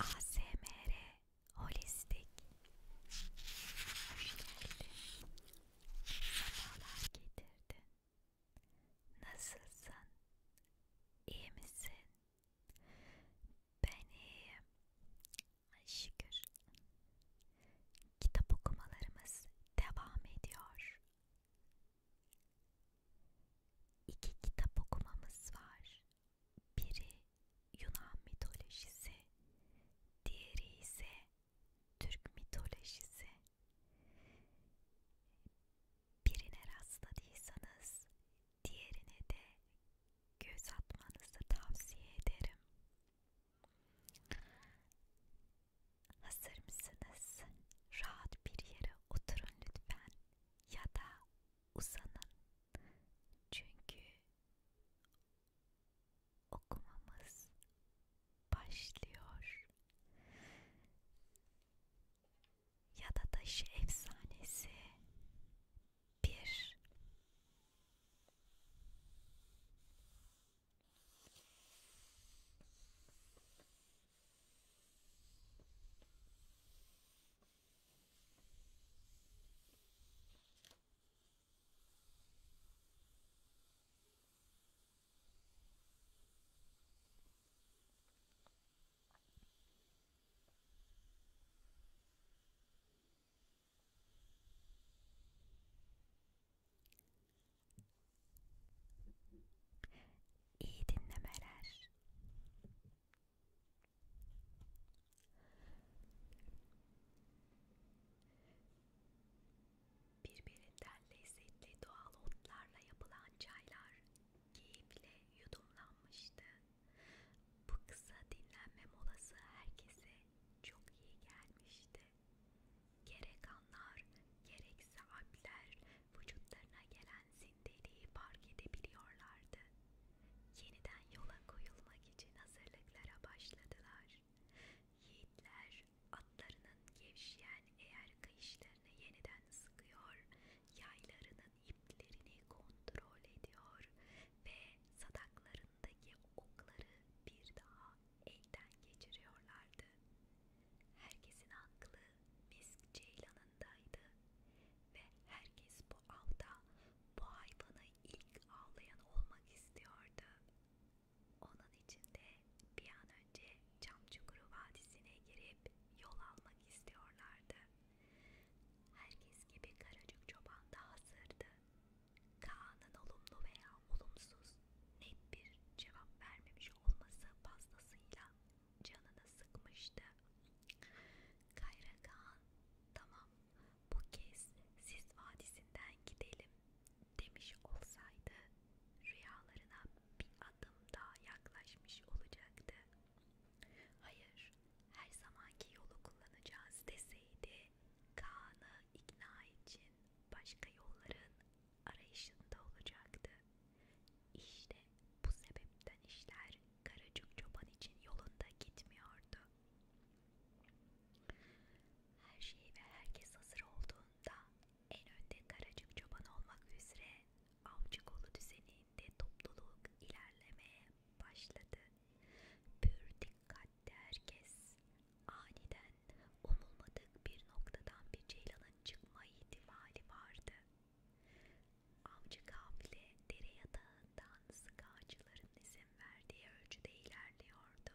ASMR Holistik Hoş geldin Semalar getirdin Nasılsın? İyi misin? Ben iyiyim Ay şükür Kitap okumalarımız devam ediyor İki kitap okumamız var biri Yunan mitolojisi, diğeri ise Türk mitolojisi. Birine rastladıysanız diğerine de göz atmanızı tavsiye ederim. Hazır mısınız? Rahat bir yere oturun lütfen ya da usanın. Çünkü okumamız başlıyor. Ya da taşı efsanesi bir. İyi dinlemeler. Birbirinden lezzetli doğal otlarla yapılan çaylar keyifle yudumlanmıştı. Bu kısa dinlenme molası herkese çok iyi gelmişti. Gerek anlar, gerekse alpler vücutlarına gelen prensin deliği fark edebiliyorlardı. Yeniden yola koyulmak için hazırlıklara başladılar. Yiğitler atlarının gevşeyen eğer kayışlarını yeniden sıkıyor, yaylarının iplerini kontrol ediyor ve sadaklarındaki okları bir daha elden geçiriyorlardı. Herkesin aklı Misk Ceylanı'ndaydı ve herkes bu avda bu hayvanı ilk avlayan olmak istiyordu. Onun için de bir an önce Çamçukuru Vadisi'ne girip yol almak istiyorlardı. Herkes gibi Karacık Çoban da hazırdı. Kaan'ın olumlu veya olumsuz net bir cevap vermemiş olması fazlasıyla canını sıkmıştı. Kayra Kağan, tamam bu kez siz vadisinden gidelim demiş olsaydı rüyalarına bir adım daha yaklaşmış olacaktı. Hayır, her zamanki yolu kullanacağız deseydi Kaan'ı ikna için başka yolların arayışında olacaktı. İşte bu sebepten işler Karacık Çoban için yolunda gitmiyordu. Her şey ve herkes hazır olduğunda en önde Karacık Çoban olmak üzere avcı kolu düzeninde topluluk ilerlemeye başladı. Pür dikkatli herkes aniden umulmadık bir noktadan bir ceylanın çıkma ihtimali vardı. Avcı kafile dere yatağından sık ağacıların izin verdiği ölçüde ilerliyordu.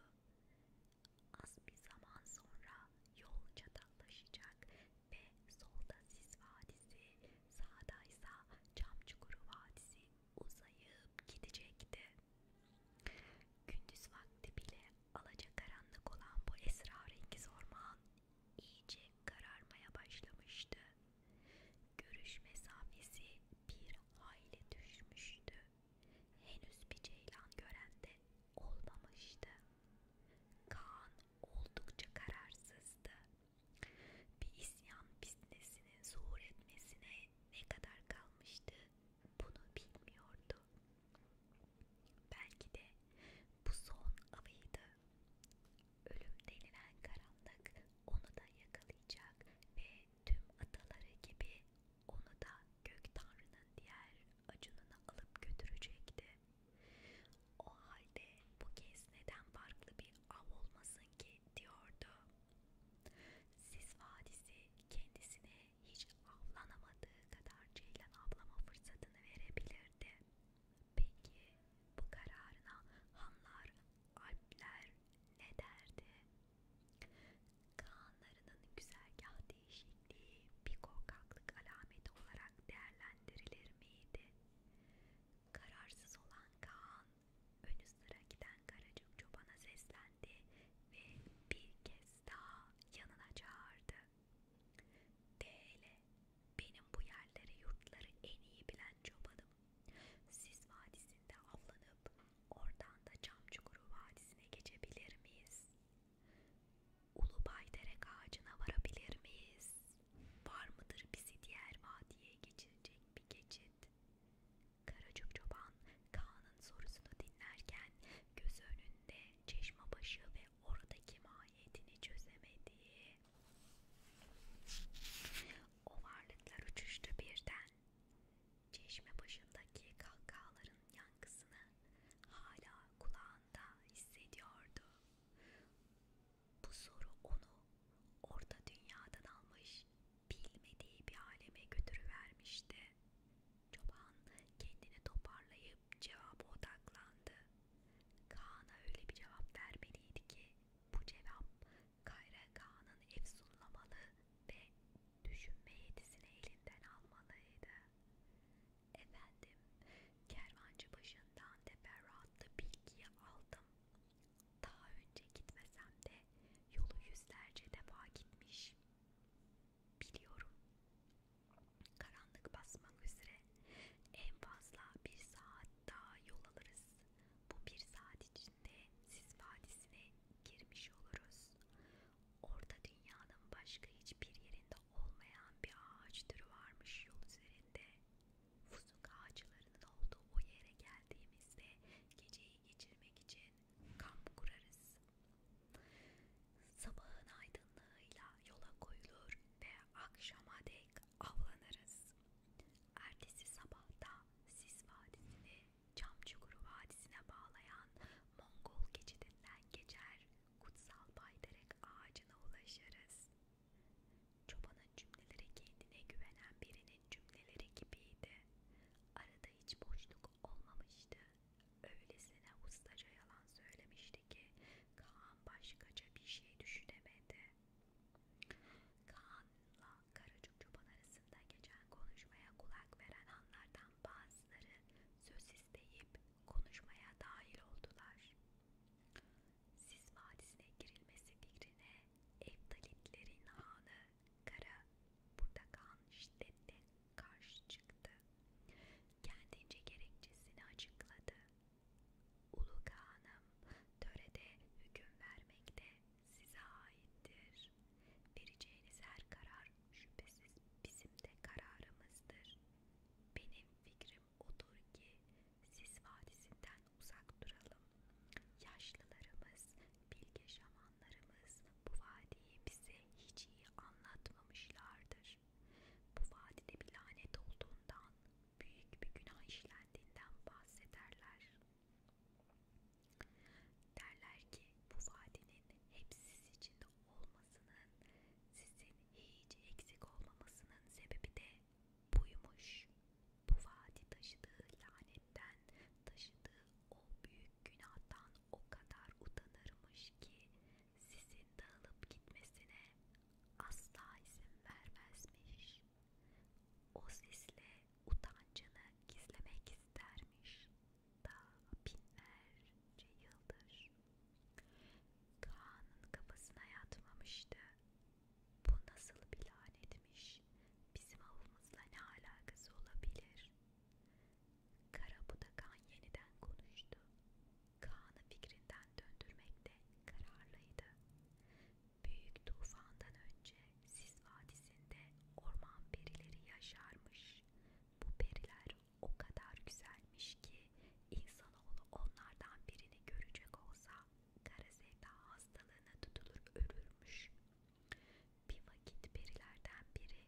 Az bir zaman sonra yol çatallaşacak ve solda Sis Vadisi, sağda ise Çamçukuru Vadisi uzayıp gidecekti. Gündüz vakti bile alacakaranlık olan bu esrarengiz orman iyice kararmaya başlamıştı. Görüş mesafesi bir hayli düşmüştü. Henüz bir ceylan gören de olmamıştı. Kaan oldukça kararsızdı. Bir isyan fitnesinin zuhur etmesine ne kadar kalmıştı bunu bilmiyordu. Belki de bu son avıydı. Ölüm denilen karanlık onu da yakalayacak ve tüm ataları gibi onu da gök tanrının diğer acınını alıp götürecekti. O halde bu kez neden farklı bir av olmasın ki diyordu. Sis Vadisi kendisine hiç avlanamadığı kadar ceylan avlama fırsatını verebilirdi. Peki bu kararına Hanlar, Alpler ne derdi? Kağanlarının güzergah değişikliği bir korkaklık alameti olarak değerlendirilir miydi? Kararsız olan Kaan önü sıra giden Karacık çobana seslendi ve bir kez daha yanına çağırdı. Dele, benim bu yerleri yurtları en iyi bilen çobanım. Siz vadisinde avlanıp oradan da Çamçukuru vadisine geçebilir miyiz? Ulu Baydere ağacına varabilir miyiz? Var mıdır bizi diğer vadiye geçirecek bir geçit? Karacık çoban Kaan'ın sorusunu dinlerken göz önünde çeşmebaşı ve oradaki mahiyetini çözemediği o varlıklar uçuştu birden. Çeşme başındaki kahkahaların yankısını hala kulağında hissediyordu. Bu soru onu orta dünyadan almış, bilmediği bir aleme götürüvermişti. Çoban kendini toparlayıp cevaba odaklandı. Kaan'a öyle bir cevap vermeliydi ki bu cevap Kayra Kaan'ın efsunlamalı ve düşünme yetisini elinden almalıydı. Efendim, kervancı başından teferruatlı bilgiyi aldım. Daha önce gitmesem de yolu yüzlerce defa gitmiş. Biliyorum. Karanlık basmak üzere en fazla bir saat daha yol alırız. Bu bir saat içinde siz vadisine girmiş oluruz. Orada dünyanın başka hiçbir yerinde olmayan bir ağaç türü varmış yol üzerinde. Fuzuk ağaçlarının olduğu o yere geldiğimizde geceyi geçirmek için kamp kurarız. Sabahın aydınlığıyla yola koyulur ve akşama dek avlanırız. Ertesi sabahta Sis Vadisi'ni Çamçukuru Vadisi'ne bağlayan Mongol geçidinden geçer kutsal baydarek ağacına ulaşırız. Çobanın cümleleri kendine güvenen birinin cümleleri gibiydi. Arada hiç boşluk olmamıştı. Öylesine ustaca yalan söylemişti ki Kaan başkaca bir şey düşünemedi. Kaan'la Karacık Çoban arasında geçen konuşmaya kulak veren anlardan bazıları söz isteyip konuşmaya dahil oldular. Siz vadisine girilmesi fikrine Evdalitlerin hanı Kara burada Kaan şiddetle karşı çıktı. Kendince gerekçesini açıkladı. Ulu Kağan'ım törede hüküm vermekte size aittir. Vereceğiniz her karar şüphesiz bizim de kararımızdır. Benim fikrim odur ki siz vadisinden uzak duralım. Yaşlılarımız, bilge şamanlarımız bu vadiyi bize hiç iyi anlatmamışlardır. Bu vadide bir lanet olduğundan büyük bir günah işlendiğinden bahsederler. Derler ki bu vadinin hep siz içinde olmasının, sizin hiç eksik olmamasının sebebi de buymuş. Bu vadi taşıdığı lanetten, taşıdığı o büyük günahtan o kadar utanırmış ki sizin dağılıp gitmesine asla izin vermezmiş. O sesle utancını gizlemek istermiş. Daha binlerce yıldır. Kaan'ın kafasına yatmamıştı. Bu nasıl bir lanetmiş? Bizim avımızla ne alakası olabilir? Karabudakan yeniden konuştu. Kaan'ı fikrinden döndürmekte kararlıydı. Büyük tufandan önce Sis Vadisi'nde orman perileri yaşarmış. Bu periler o kadar güzelmiş ki insanoğlu onlardan birini görecek olsa kara sevda hastalığına tutulur ölürmüş. Bir vakit perilerden biri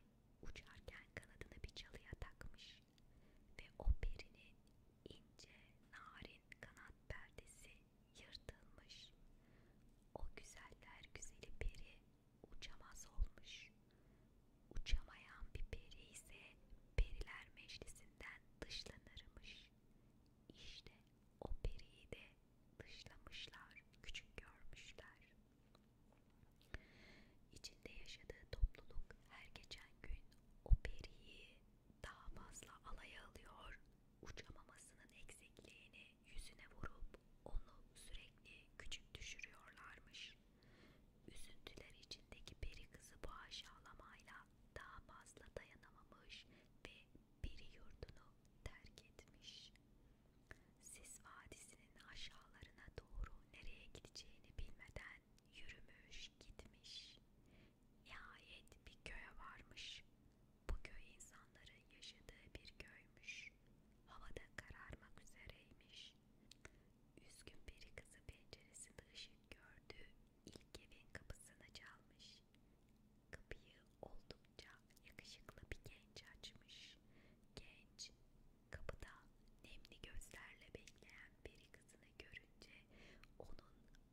uçarken kanadını bir çalıya takmış ve o perinin ince narin kanat perdesi yırtılmış. O güzeller güzeli peri uçamaz olmuş. Uçamayan bir peri ise periler meclisinden dışlanırmış. İşte o periyi de dışlamışlar, küçük görmüşler. İçinde yaşadığı topluluk her geçen gün o periyi daha fazla alaya alıyor, uçamamasının eksikliğini yüzüne vurup onu sürekli küçük düşürüyorlarmış. Üzüntüler içindeki peri kızı bu aşağılamayla daha fazla dayanamamış ve peri yurdunu terk etmiş. Sis vadisinin aşağılarına doğru nereye gideceğini bilmeden Yürümüş gitmiş. Nihayet bir köye varmış. Bu köy insanların yaşadığı bir köymüş. Havada kararmak üzereymiş. Üzgün bir kızı penceresinde ışık gördü. İlk evin kapısını çalmış. Kapıyı oldukça yakışıklı bir genç açmış. Genç kapıda nemli gözlerle bekleyen peri kızını görünce onun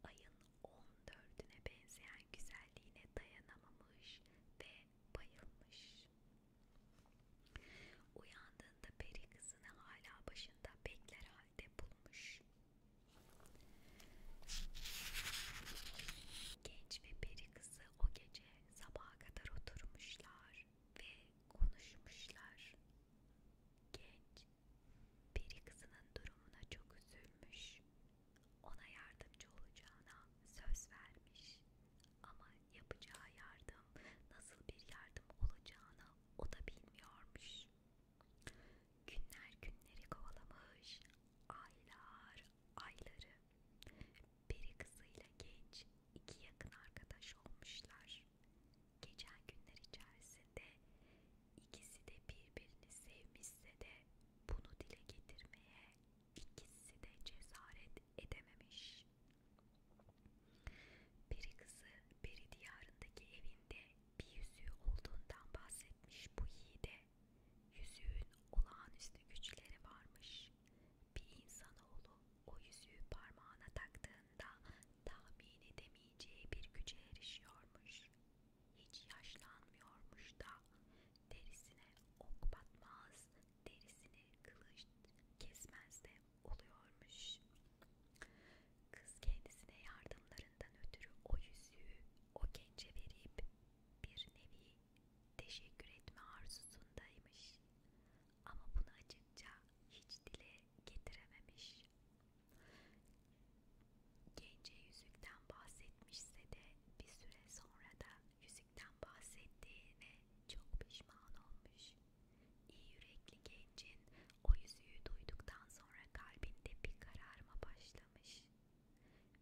ayın 14'üne benzeyen güzelliğine dayanamamış ve bayılmış. Uyandığında peri kızını hala başında bekler halde bulmuş. Genç ve peri kızı o gece sabaha kadar oturmuşlar ve konuşmuşlar. Genç Peri kızının durumuna çok üzülmüş. Ona yardımcı olacağına söz vermiş. Ama yapacağı yardım nasıl bir yardım olacağını o da bilmiyormuş. Günler günleri kovalamış, aylar ayları. Peri kızıyla genç iki yakın arkadaş olmuşlar var. Geçen günler içerisinde ikisi de birbirini sevmişse de bunu dile getirmeye ikisi de cesaret edememiş. Peri kızı Peri diyarındaki evinde bir yüzüğü olduğundan bahsetmiş bu yiğide. Yüzüğün olağanüstü güçleri varmış. Bir insanoğlu o yüzüğü parmağına taktığında tahmin edemeyeceği bir güce erişiyormuş. Hiç yaşlanmıyormuş da derisine ok batmaz, derisine kılıç kesmez de oluyormuş. Kız kendisine yardımlarından ötürü o yüzüğü o gence verip bir nevi teşekkür etme arzusundaymış ama bunu açınca hiç dile getirememiş. Gence yüzükten bahsetmişse de bir süre sonra da yüzükten bahsettiğine çok pişman olmuş. İyi yürekli gencin o yüzüğü duyduktan sonra kalbinde bir kararma başlamış.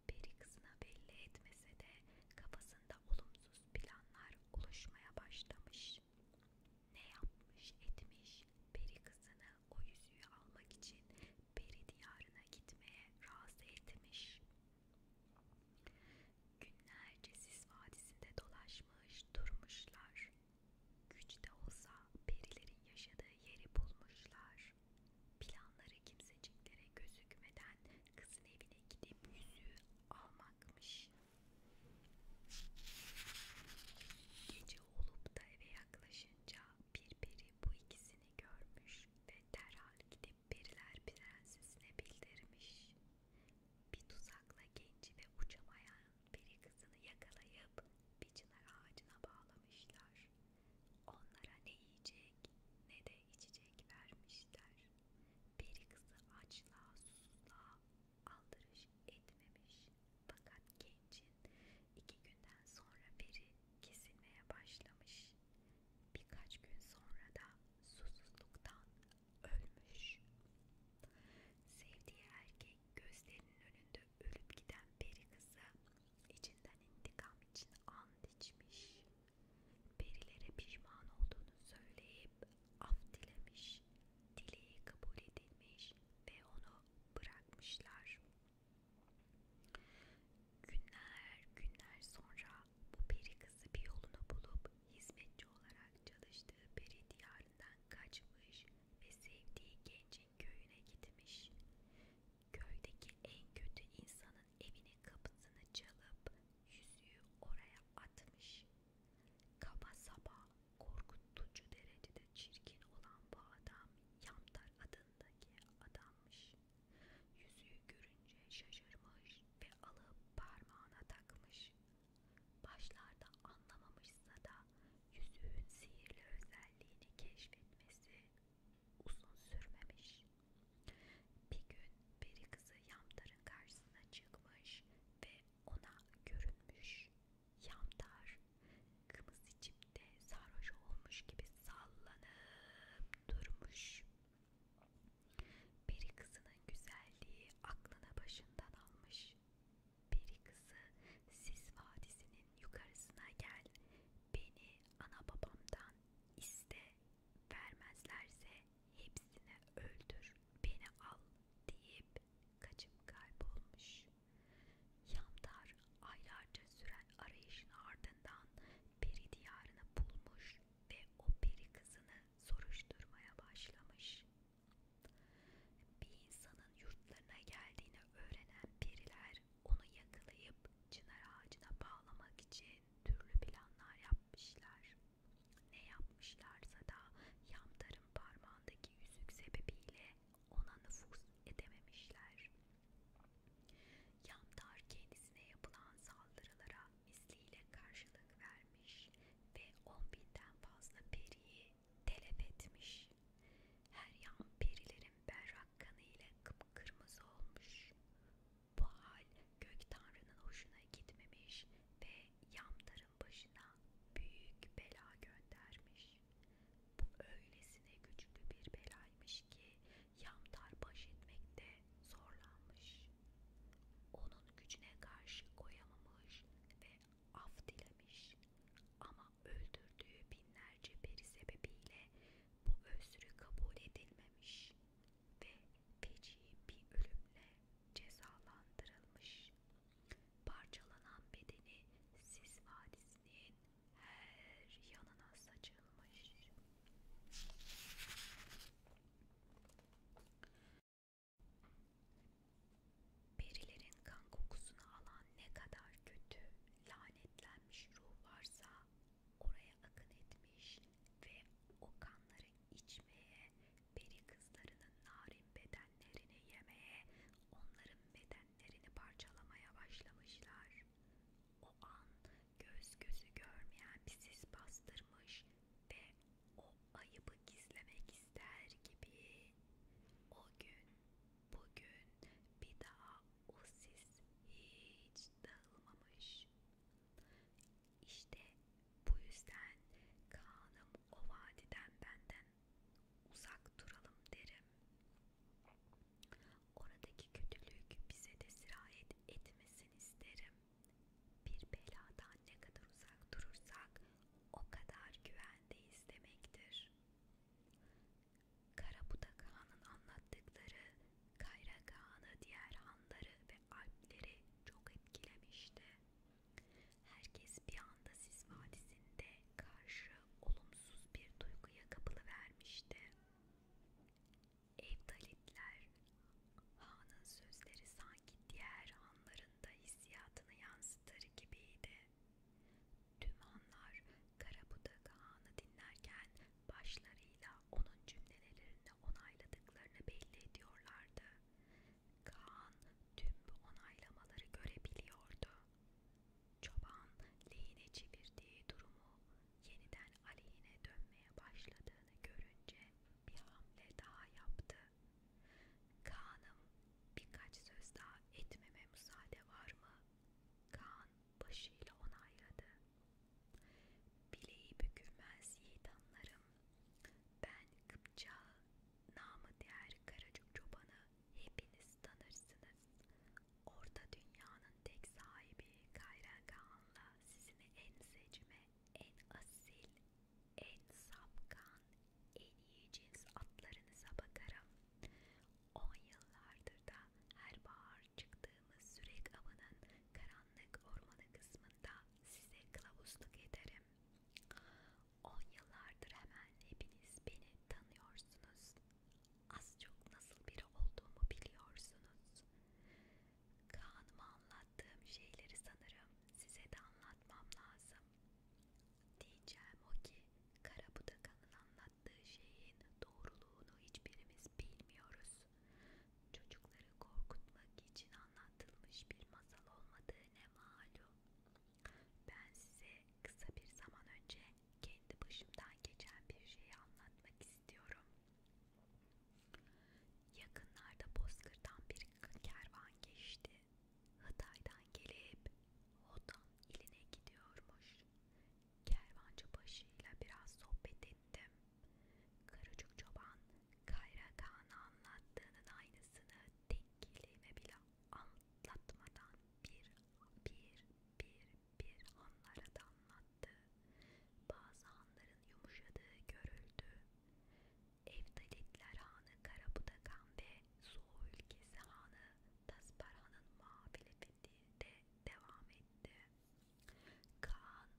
Peri kızına belli etmese de kafasında olumsuz planlar oluşmaya başlamış yapmış. Ne yapmış etmiş peri kızını o yüzüğü almak için peri diyarına gitmeye razı etmiş. Günlerce sis vadisinde dolaşmış durmuşlar. Güç de olsa perilerin yaşadığı yeri bulmuşlar. Planları kimseciklere gözükmeden kızın evine gidip yüzüğü almakmış. Gece olup da eve yaklaşınca bir peri bu ikisini görmüş ve derhal gidip periler prensesine bildirmiş. Bir tuzakla genci ve uçamayan peri kızını yakalayıp bir çınar ağacına bağlamışlar. Onlara ne yiyecek ne de içecek vermişler. Peri kızı açla susuzluğa aldırış etmemiş. Fakat gencin iki günden sonra beri kesilmeye başlamış. Birkaç gün sonra da susuzluktan ölmüş. Sevdiği erkek gözlerinin önünde ölüp giden peri kızı içinden intikam için and içmiş. Perilere pişman olduğunu söyleyip af dilemiş, dileği kabul edilmiş ve onu bırakmışlar. Günler günler sonra bu peri kızı bir yolunu bulup hizmetçi olarak çalıştığı peri diyarından kaçmış ve sevdiği gencin köyüne gitmiş. Köydeki en kötü insanın evinin kapısını çalıp yüzüğü oraya atmış. Kaba saba korkutucu derecede çirkin olan bu adam Yamtar adındaki adammış. Yüzüğü görünce şaşırmış ve alıp parmağına takmış. Başlarda anlamamışsa da yüzüğün sihirli özelliğini keşfetmesi uzun sürmemiş. Bir gün peri kızı Yamtar'ın karşısına çıkmış ve ona görünmüş, yamdar, kımız içip de sarhoş olmuş gibi sallanıp durmuş. Peri kızının güzelliği aklını başından almış. Peri kızı Sis Vadisi'nin yukarısına gel, beni ana babamdan iste, vermezlerse hepsini öldür, beni al deyip kaçım kaybolmuş. Yamdar aylarca süren arayışın ardından peri diyarını bulmuş ve o peri kızını soruşturmaya başlamış. Bir insanın yurtlarına geldiğini öğrenen periler onu yakalayıp çınar ağacına bağlamak için türlü planlar yapmışlar. Ne yapmışlarsa da Yamdar'ın parmağındaki yüzük sebebiyle ona nüfuz edememişler. Yamdar kendisine yapılan saldırılara misliyle karşılık vermiş ve on binden fazla periyi telef etmiş. Her yan perilerin berrak kanı ile kıpkırmızı olmuş. Bu hal gök tanrının hoşuna gitmemiş ve Yamdar'ın başına başına büyük bela göndermiş. Bu öylesine güçlü bir belaymış ki Yamtar baş etmekte zorlanmış. Onun gücüne karşı koyamamış ve af dilemiş. Ama öldürdüğü binlerce peri sebebiyle bu özrü kabul edilmemiş ve feci bir ölümle cezalandırılmış. Parçalanan bedeni Sis Vadisi'nin her yanına saçılmış. Perilerin kan kokusunu alan ne kadar kötü, lanetlenmiş ruh varsa oraya akın etmiş ve o kanları içmeye, peri kızlarının narin bedenlerini yemeye, onların bedenlerini parçalamaya başlamışlar. O an göz gözü görmeyen bir sis bastırmış ve o ayıbı gizlemek ister gibi o gün, bugün bir daha o sis hiç dağılmamış. İşte bu yüzden kanım o vadiden benden uzak duralım derim. Oradaki kötülük bize de sirayet etmesin isterim. Bir beladan ne kadar uzak durursak o kadar güvendeyiz demektir. Karabudak Han'ın anlattıkları Kayrak Han'ı diğer hanları ve alpleri çok etkilemişti. Herkes bir anda Sis Vadisi'nde karşı olumsuz bir duyguya kapılıvermişti. Evdalitler, Han'ın sözleri sanki diğer hanların da hissiyatını yansıtır gibiydi. Tüm hanlar Karabudak Han'ı dinlerken başlarıyla onun cümlelerini onayladıklarını belli ediyorlardı. Kaan tüm bu onaylamaları görebiliyordu. Çoban lehine çevirdiği durumu yeniden aleyhine dönmeye başladığını görünce bir hamle daha yaptı. Kaan'ım birkaç söz daha etmeme müsaade var mı? Kaan başıyla onayladı. Bileği bükülmez yiğit anlarım. Ben Kıpçağı namı diğer Karacık Çoban'ı hepiniz tanırsınız. Orta dünyanın tek sahibi Kayragahan'la sizin en seçme, en asil, en sapkan, en iyi cins atlarınıza bakarım. On yıllardır da her bahar çıktığımız sürek avının karanlık ormanı kısmında size kılavuzluk ederim ederim. 10 yıllardır hemen hepiniz beni tanıyorsunuz. Az çok nasıl biri olduğumu biliyorsunuz. Kaan'ıma anlattığım şeyleri sanırım size de anlatmam lazım. Diyeceğim o ki Karabudakan'ın anlattığı şeyin doğruluğunu hiçbirimiz bilmiyoruz. Çocukları korkutmak için anlatılmış bir masal olmadığı ne malum. Ben size kısa bir zaman önce kendi başımdan geçen bir şeyi anlatmak istiyorum. Yakınlarda Bozkır'dan bir kervan geçti. Hatay'dan gelip Hodan iline gidiyormuş. Kervancı başıyla biraz sohbet ettim. Karıcık çoban Kayra Kaan'a anlattığının aynısını tek kelime bile anlatmadan bir bir bir bir hanlara da anlattı. Bazı hanların yumuşadığı görüldü. Evdalitler Hanı Karabudakan ve Soğu ülkesi Hanı Tasparhan'ın muhalefeti de devam etti. Kaan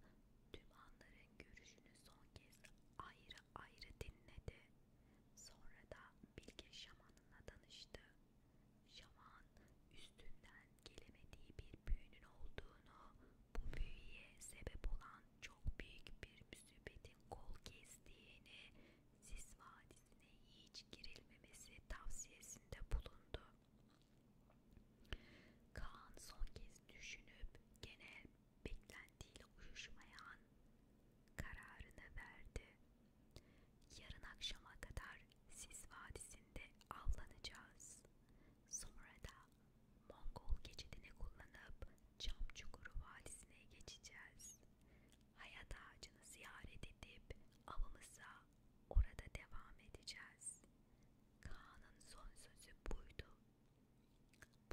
tüm hanların görüşünü son kez ayrı ayrı dinledi. Sonra da bilge şamanına danıştı. Şaman üstünden gelemediği bir büyünün olduğunu, bu büyüye sebep olan çok büyük bir müsibetin kol gezdiğini, Sis Vadisi'ne hiç girilmemesi tavsiyesinde bulundu. Kaan son kez düşünüp genel beklentiyle uyuşmayan kararını verdi. Yarın akşama kadar Sis Vadisi'nde avlanacağız. Sonra da Mongol geçidini kullanıp Çamçukuru Vadisi'ne geçeceğiz. Hayat ağacını ziyaret edip avımıza orada devam edeceğiz. Kaan'ın son sözü buydu.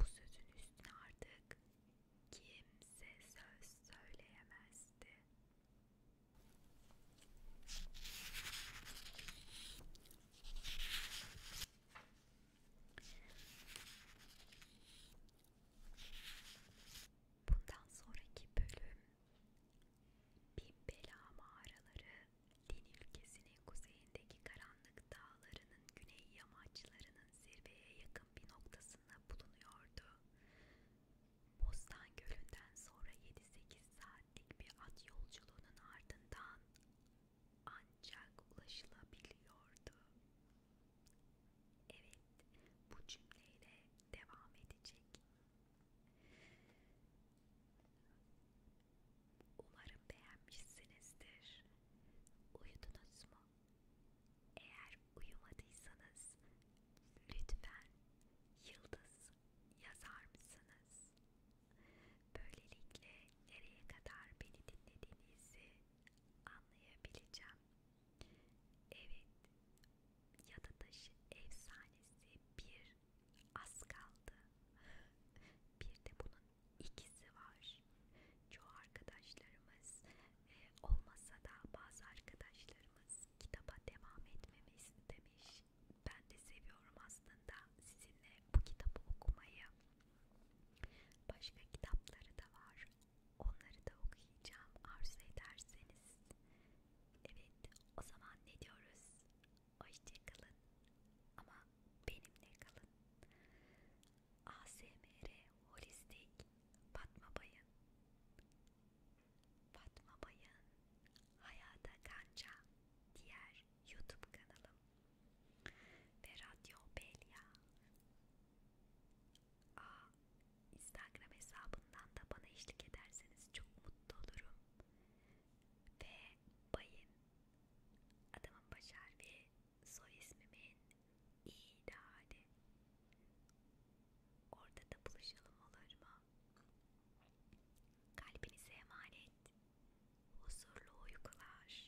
Bu sözün üstüne artık kimse söz söyleyemezdi. Bundan sonraki bölüm Bin Bela mağaraları Din ülkesinin kuzeyinde üzerindeki karanlık dağlarının güney yamaçlarının zirveye yakın bir noktasında bulunuyordu. Bostan Gölü'nden sonra 7-8 saatlik bir at yolculuğunun ardından ancak ulaşılabiliyordu. Evet, bu cümleyle devam edecek. Umarım beğenmişsinizdir. Uyudunuz mu? Eğer uyumadıysanız lütfen yıldız yazar mısınız? Böylelikle nereye kadar beni dinlediğinizi anlayabileceğim. Evet, Yadı Taşı Efsanesi bir az kaldı. Bir de bunun ikisi var. Çoğu arkadaşlarımız e, olmasa da bazı arkadaşlarımız kitaba devam etmemi istemiş. Ben de seviyorum aslında sizinle bu kitabı okumayı. Başka kitapları da var. Onları da okuyacağım arzu ederseniz. Evet o zaman ne diyoruz? Hoşçakalın ama benimle kalın. ASMR Holistik Fatma Bayın Fatma Bayın Hayata Kanca Diğer YouTube kanalım Ve Radyo Belya Aa, Instagram hesabından da bana eşlik ederseniz çok mutlu olurum ve bayın adamın baş harfi soy ismimin icadı. Orada da buluşalım olur mu? Kalbinize emanet. Huzurlu uykular.